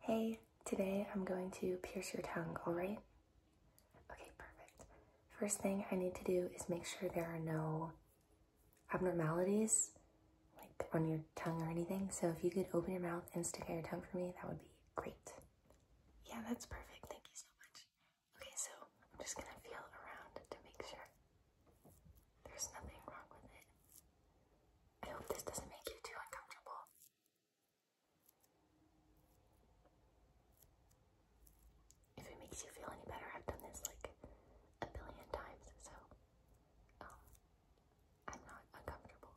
Hey, today I'm going to pierce your tongue, alright? Okay, perfect. First thing I need to do is make sure there are no abnormalities like on your tongue or anything. So if you could open your mouth and stick out your tongue for me, that would be great. Yeah, that's perfect. Thank you so much. Okay, so I'm just gonna feel around to make sure there's nothing wrong with it. I hope this doesn't make you too uncomfortable. If it makes you feel any better, I've done this like a billion times, so um, I'm not uncomfortable.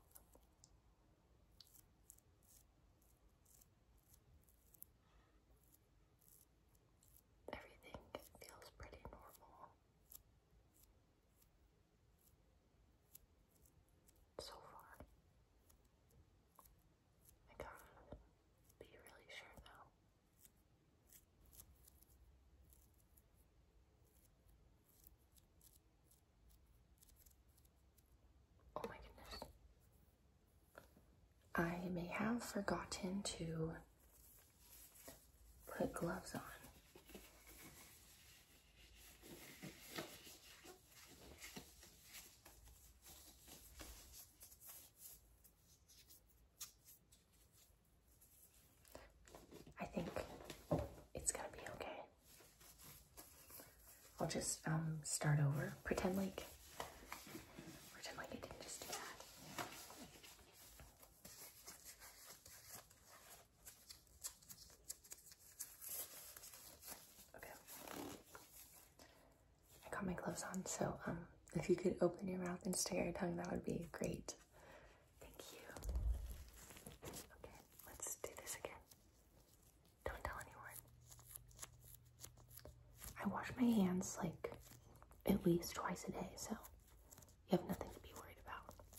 Everything feels pretty normal so far. I can't be really sure though. Oh my goodness. I may have forgotten to put gloves on. I think it's gonna be okay. I'll just um, start over. Pretend like pretend like I didn't just do that. Okay. I got my gloves on, so um, if you could open your mouth and stick your tongue, that would be great. Thank you. Okay, let's do this again. Don't tell anyone. I wash my hands like at least twice a day, so you have nothing to be worried about.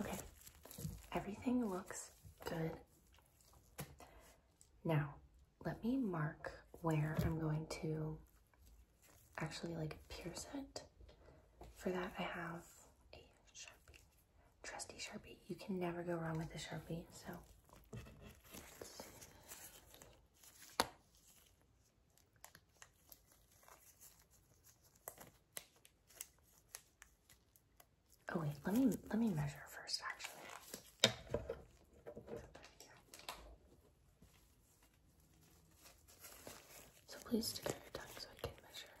Okay, everything looks good. Now, let me mark where I'm going to actually like pierce it. For that, I have a Sharpie, trusty Sharpie. You can never go wrong with a Sharpie, so. Oh wait, let me let me measure first actually. So please stick out your tongue so I can measure.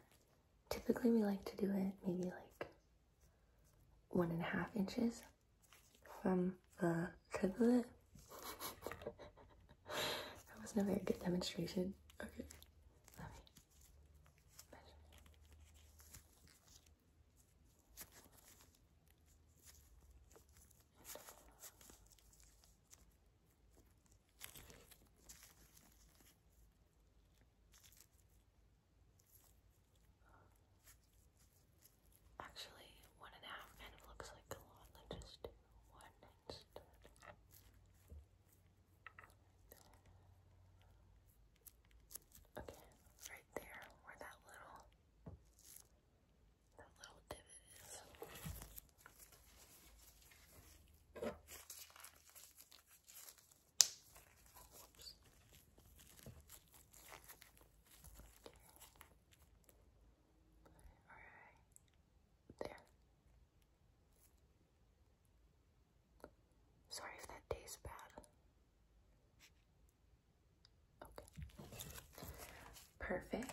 Typically we like to do it maybe like one and a half inches from the tip of it. that wasn't a very good demonstration. Okay, let me Actually, one and a half kind of looks like a lot, like just one night Okay, right there where that little that little divot is. Whoops. Okay. Alright. There. Sorry if that tastes bad. Okay. Perfect.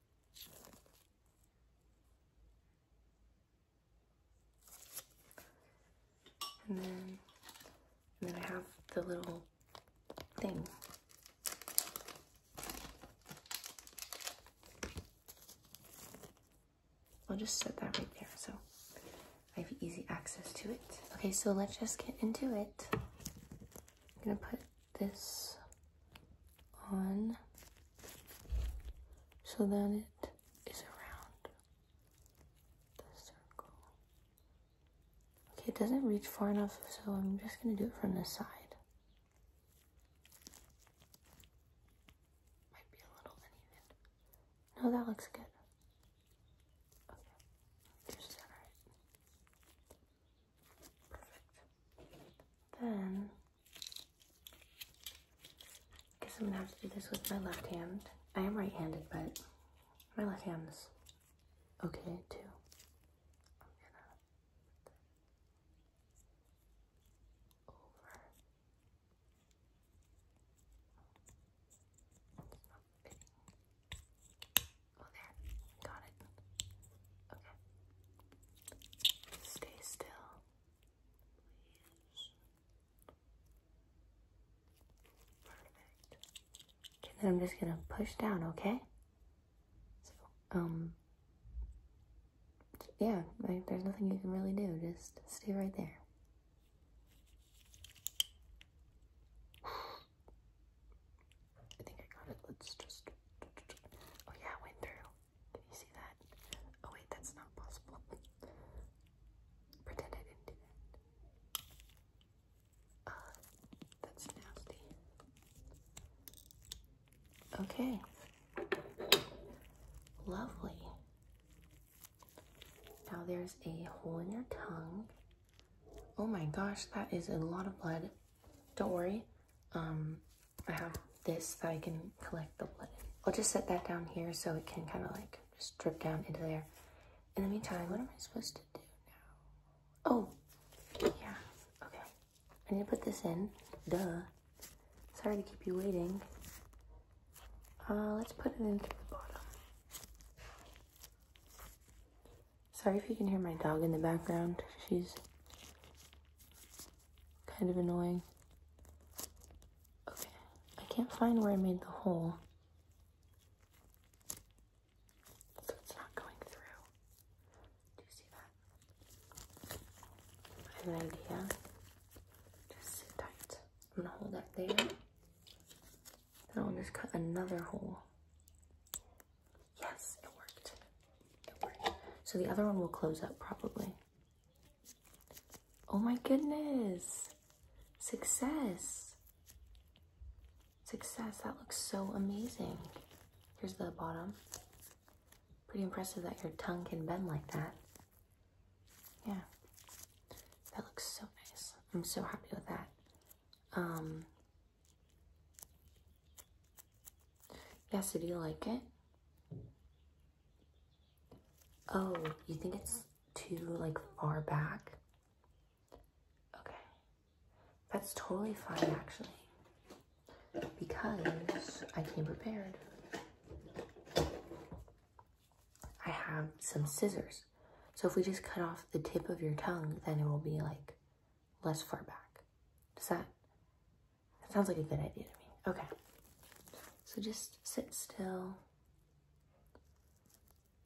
And then, and then I have the little thing. I'll just set that right there so I have easy access to it. Okay, so let's just get into it. I'm gonna put this on so that it is around the circle. Okay, it doesn't reach far enough, so I'm just going to do it from the side. Might be a little uneven. No, that looks good. Okay, just that right. Perfect. Then, guess I'm gonna have to do this with my left hand. I am right-handed, but my left hand is okay too. over. Oh, Got it. Okay. Stay still. Please. Perfect. And then I'm just gonna push down, okay? So, um, yeah, there's nothing you can really do. Just stay right there. I think I got it. Let's just. Oh yeah, went through. Can you see that? Oh wait, that's not possible. Pretend I didn't do that. Uh, that's nasty. Okay. Lovely. Now there's a hole in your tongue. Oh my gosh, that is a lot of blood. Don't worry. Um, I have this that I can collect the blood in. I'll just set that down here so it can kind of like just drip down into there. In the meantime, what am I supposed to do now? Oh, yeah, okay. I need to put this in, duh. Sorry to keep you waiting. Uh, let's put it into the bottom. Sorry if you can hear my dog in the background. She's kind of annoying. Okay, I can't find where I made the hole. So it's not going through. Do you see that? an idea. Just sit tight. I'm gonna hold that there. I'll just cut another hole. Yes, it worked. It worked. So the other one will close up probably. Oh my goodness. Success. Success. That looks so amazing. Here's the bottom. Pretty impressive that your tongue can bend like that. Yeah. That looks so nice. I'm so happy with that. Um, yeah, do you like it? Oh, you think it's too, like, far back? Okay. That's totally fine, actually. Because I came prepared. I have some scissors. So if we just cut off the tip of your tongue, then it will be like less far back. Does that, that sounds like a good idea to me. Okay. So just sit still.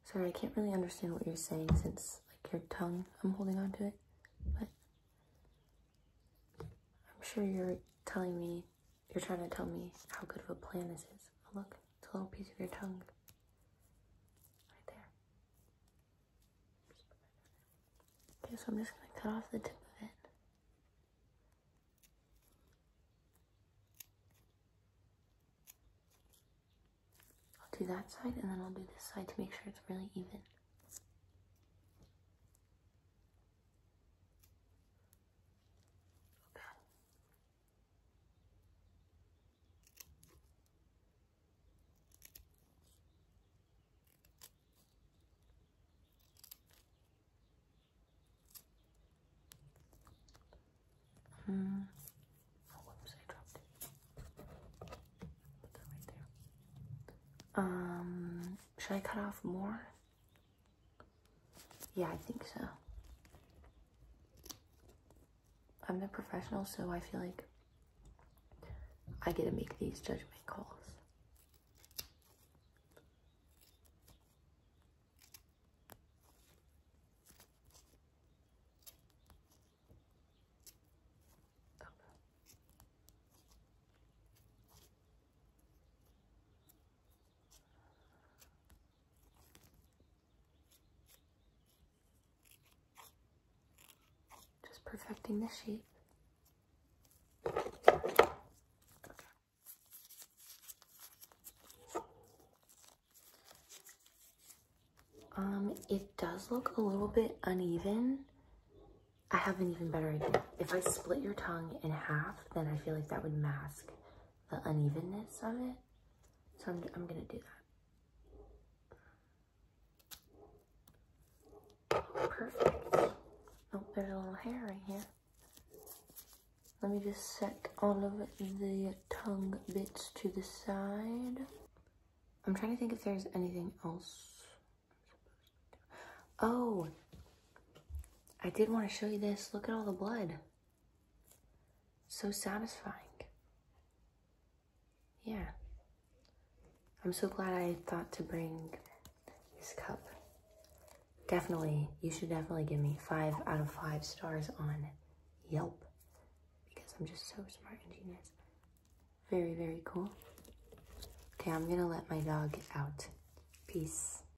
Sorry, I can't really understand what you're saying since like your tongue, I'm holding on to it, but I'm sure you're telling me, you're trying to tell me how good of a plan this is. look. It's a little piece of your tongue. Right there. Okay, so I'm just going to cut off the tip of it. I'll do that side and then I'll do this side to make sure it's really even. Okay. Hmm. Oh, whoops, dropped it. Put that right there. Um, should I cut off more? Yeah, I think so. I'm the professional, so I feel like I get to make these judgment calls. Just perfecting the shape. Um, it does look a little bit uneven. I have an even better idea. If I split your tongue in half, then I feel like that would mask the unevenness of it. So I'm, I'm gonna do that. Perfect. Oh, there's a little hair right here. Let me just set all of the tongue bits to the side. I'm trying to think if there's anything else. Oh, I did want to show you this. Look at all the blood. So satisfying. Yeah. I'm so glad I thought to bring this cup. Definitely, you should definitely give me five out of five stars on Yelp because I'm just so smart and genius. Very, very cool. Okay, I'm gonna let my dog out. Peace.